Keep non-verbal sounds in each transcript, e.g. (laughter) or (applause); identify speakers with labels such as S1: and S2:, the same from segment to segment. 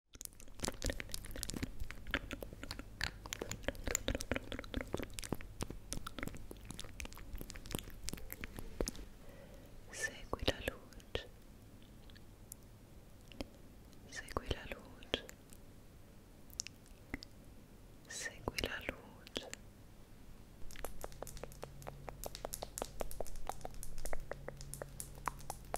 S1: Segui la luce, segui la luce, segui la luce.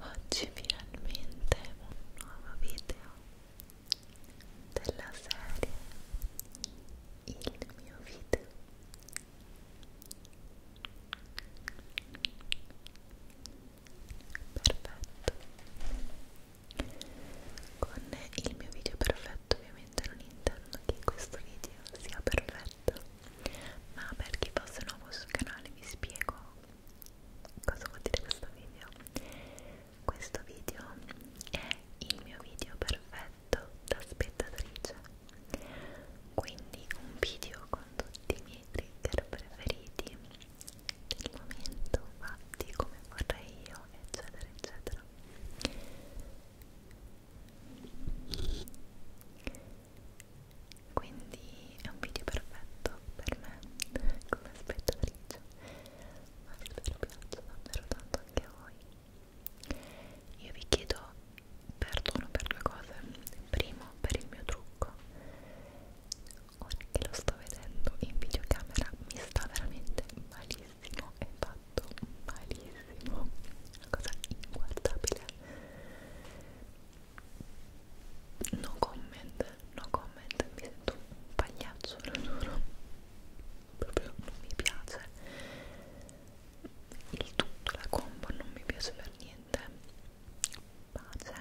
S1: Oggi finalmente un nuovo video della serie il mio video perfetto con il mio video perfetto ovviamente non intendo che questo video sia perfetto ma per chi fosse nuovo sul canale vi spiego cosa vuol dire questo video questo video è il mio video perfetto da spettatrice quindi un video con tutti i miei trigger preferiti del momento fatti come vorrei io eccetera eccetera quindi è un video perfetto per me come spettatrice ma spero piaccia davvero tanto anche a voi io vi chiedo perdono per due cose primo per il mio trucco ora che lo sto vedendo in videocamera mi sta veramente malissimo è fatto malissimo una cosa inguardabile no comment no comment mi sento un pagliaccio lo giuro proprio non mi piace il tutto la combo non mi piace per niente pace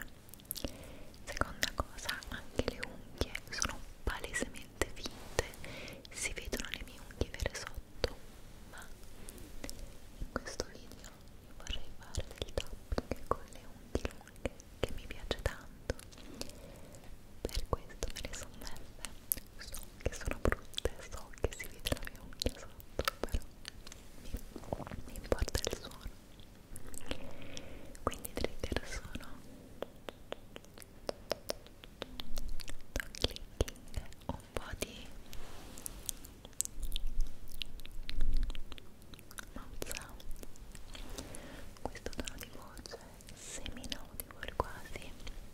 S1: seconda cosa anche le unghie sono palesemente finte si vedono le mie unghie vere sotto ma in questo video io vorrei fare del tapping con le unghie lunghe che mi piace tanto per questo me le sono messe so che sono brutte so che si vede la mia unghia sotto però mi importa il suono quindi trigger sono clicking un po' di mouse sound questo tono di voce semi-audible quasi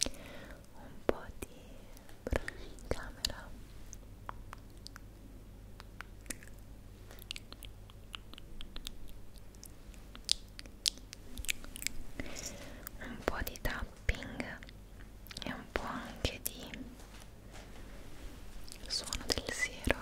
S1: un po' di brush in camera un po' di tapping e un po' anche di suono del siero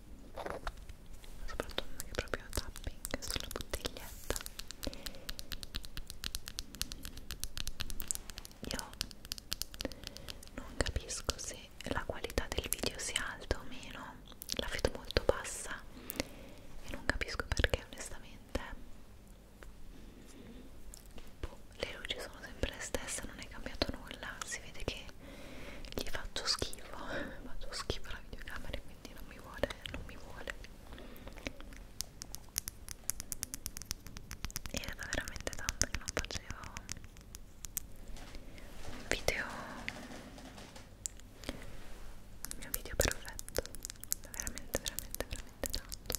S2: soprattutto anche proprio tapping sulla bottiglietta io non capisco se la qualità del video sia alta o meno la vedo molto bassa e non capisco
S1: perché onestamente boh, le luci sono sempre le stesse non è cambiato nulla si vede che gli faccio schifo (laughs) faccio schifo alla videocamera quindi non mi vuole non mi vuole era da veramente tanto che non facevo un video il mio video perfetto veramente veramente veramente tanto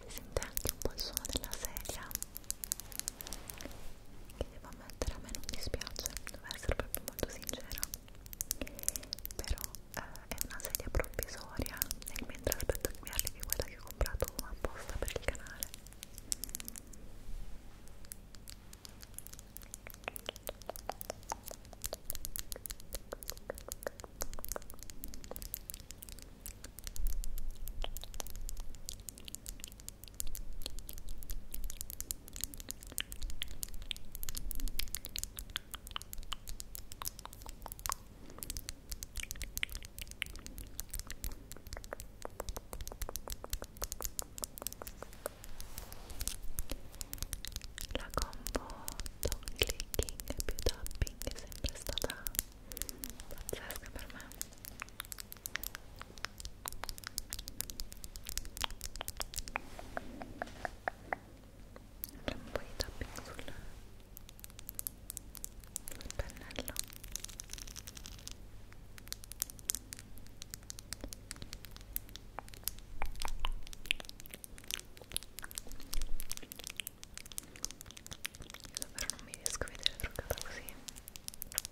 S1: si sente anche un po' il suono della sedia che devo ammettere a me non dispiace, devo essere proprio molto sincera però eh, è una sedia provvisoria nel mentre aspetto che mi arrivi quella che ho comprato apposta per il canale la combo don't clicking più topping è sempre stata pazzesca per me c'è un po' di tapping sul, sul pennello Davvero non mi riesco a vedere truccata così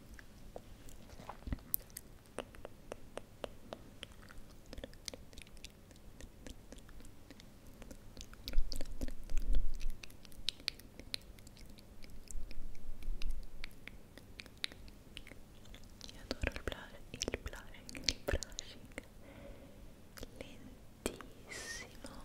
S1: Io adoro il blushing, il blushing, il blushing lentissimo lentissimo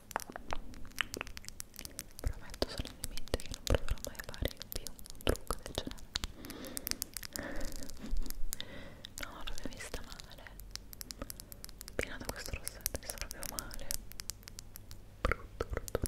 S1: Prometto solennemente che non proverò mai a fare più un trucco del genere. no, l'ho vista male. Piena da questo rossetto, mi sta proprio male. Brutto, brutto, brutto.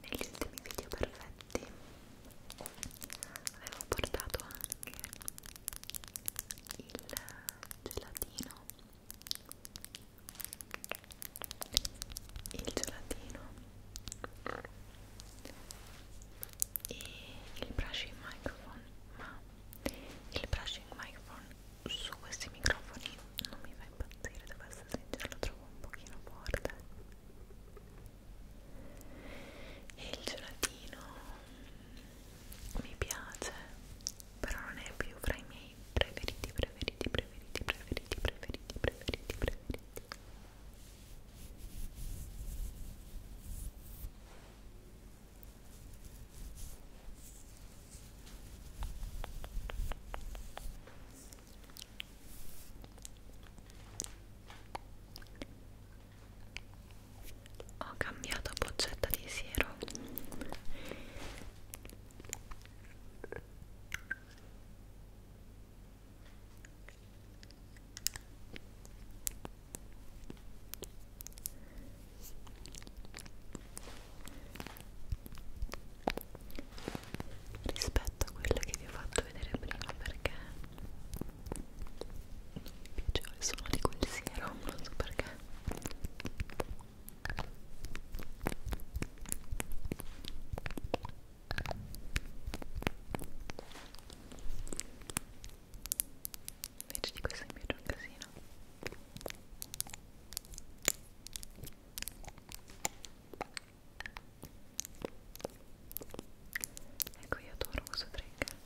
S1: negli ultimi video perfetti avevo portato anche il gelatino il gelatino e il brushing microphone ma il brushing microphone su questi microfoni non mi fa impazzire, devo essere sincero, lo trovo un pochino forte e il gelatino mi piace però non è più fra i miei preferiti, preferiti, preferiti, preferiti, preferiti, preferiti, preferiti ho cambiato boccetta di siero rispetto a quella che vi ho fatto vedere prima perché non mi piaceva il suono di quel siero, non so perché invece di questo mi piace un casino Ecco io adoro questo trigger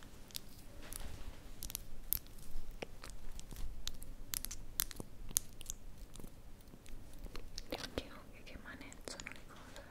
S1: e anche occhi che manezzano le cose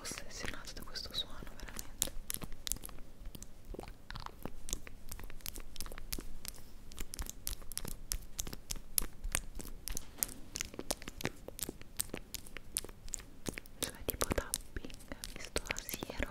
S1: ossessionato da questo suono veramente cioè tipo tapping visto a siero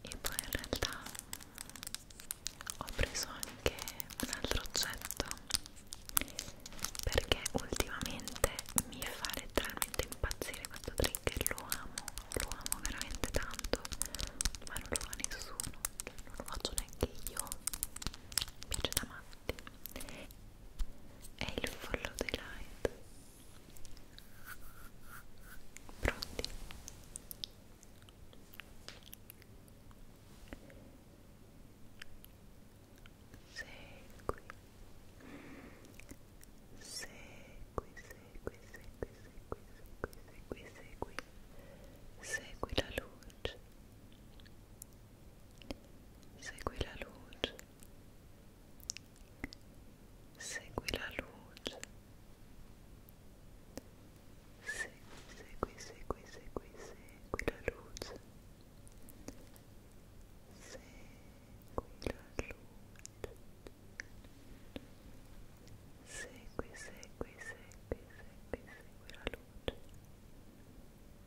S3: e poi in realtà ho preso anche un altro oggetto perché ultimamente mi fa letteralmente impazzire questo trigger lo amo, lo amo veramente tanto ma non lo fa nessuno non lo faccio neanche io mi piace da matti è il follow the light Pronti? Segui. Segui, segui, segui, segui, segui, segui, segui. Segui la luce. Segui la luce. segui la luce segui, segui, segui, segui, segui la luce segui la luce segui, segui, segui, segui, segui la luce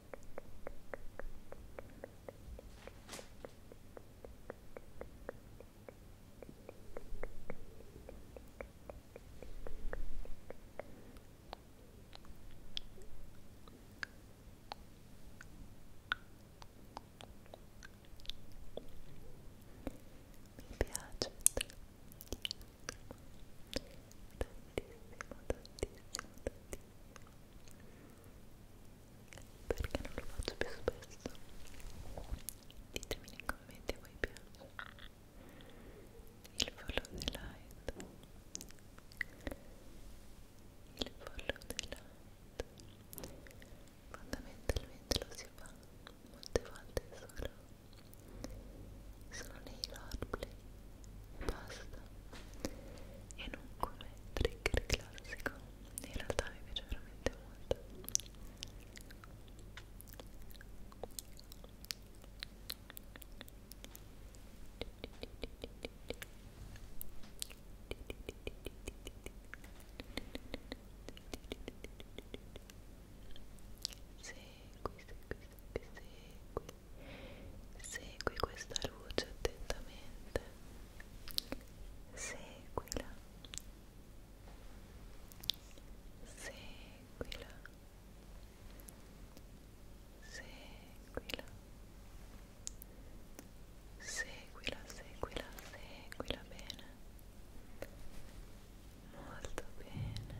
S3: Mi piace tantissimo, tantissimo, tantissimo perché non lo faccio più spesso ditemi nei commenti a voi piace il follow the light il follow the light fondamentalmente lo si fa molte volte solo sono nei roleplay basta e non come trigger classico in realtà mi piace veramente molto Segui, segui, segui, segui Segui questa luce attentamente. Seguila. Seguila. Seguila. Seguila, seguila, seguila bene. Molto bene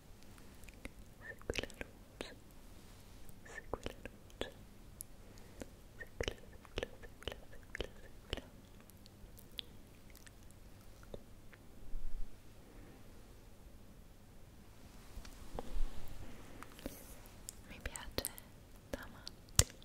S3: segui la luce, segui la luce, seguila, seguila, seguila, seguila, seguila. Mi piace da matti. Ecco.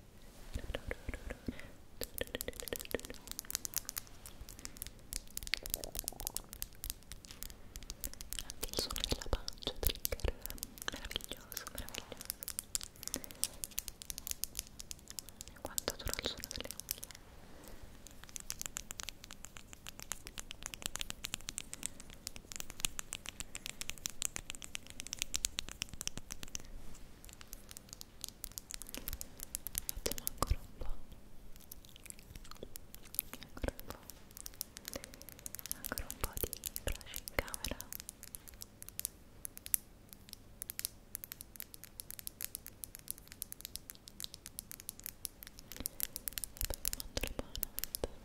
S3: Anche il suono della pancia trigger meraviglioso, meraviglioso. E quanto dura il suono delle unghie? facciamo ancora un po' ancora un po' ancora un po' di flash in camera e poi vi mando la buonanotte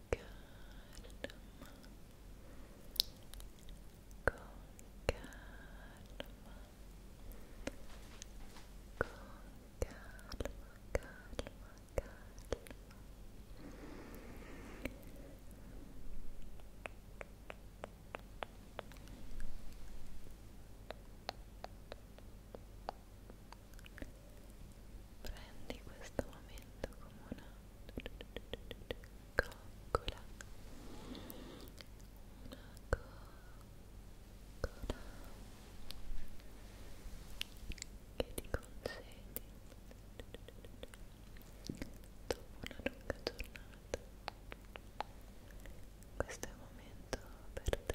S3: Calma. Con calma. Con calma, calma, calma. Calma, prendi questo momento come una coccola una coccola che ti concedi dopo una lunga giornata questo è un momento per te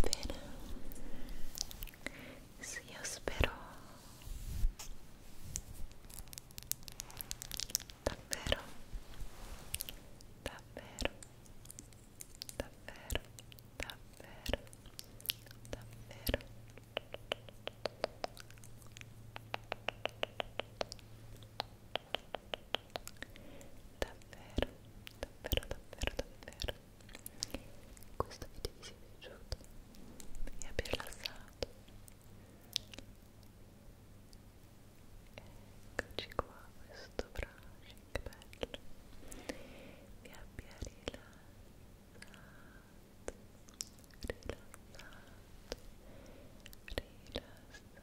S3: bene sì io spero davvero davvero davvero davvero davvero davvero davvero davvero davvero questo video vi sia piaciuto vi abbia rilassato eccoci qua questo brushing che bello vi abbia rilassato rilassato rilassato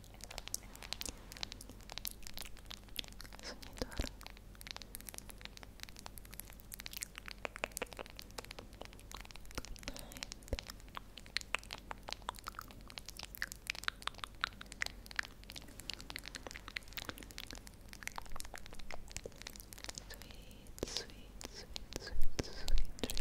S3: Soñador. Sweet, sweet, sweet, sweet, sweet dreams.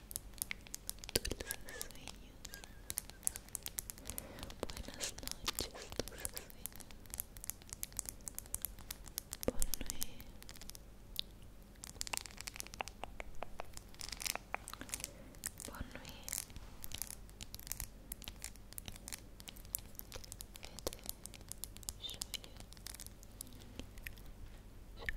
S3: dulces sueños buenas noches dulces sueños ponme ponme Show you, que you, show you,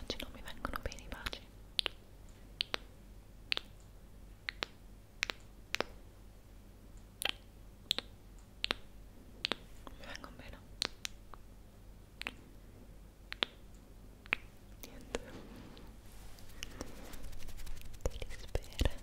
S3: Oggi non mi vengono bene i baci. Mi vengono bene. Niente. Ti spera.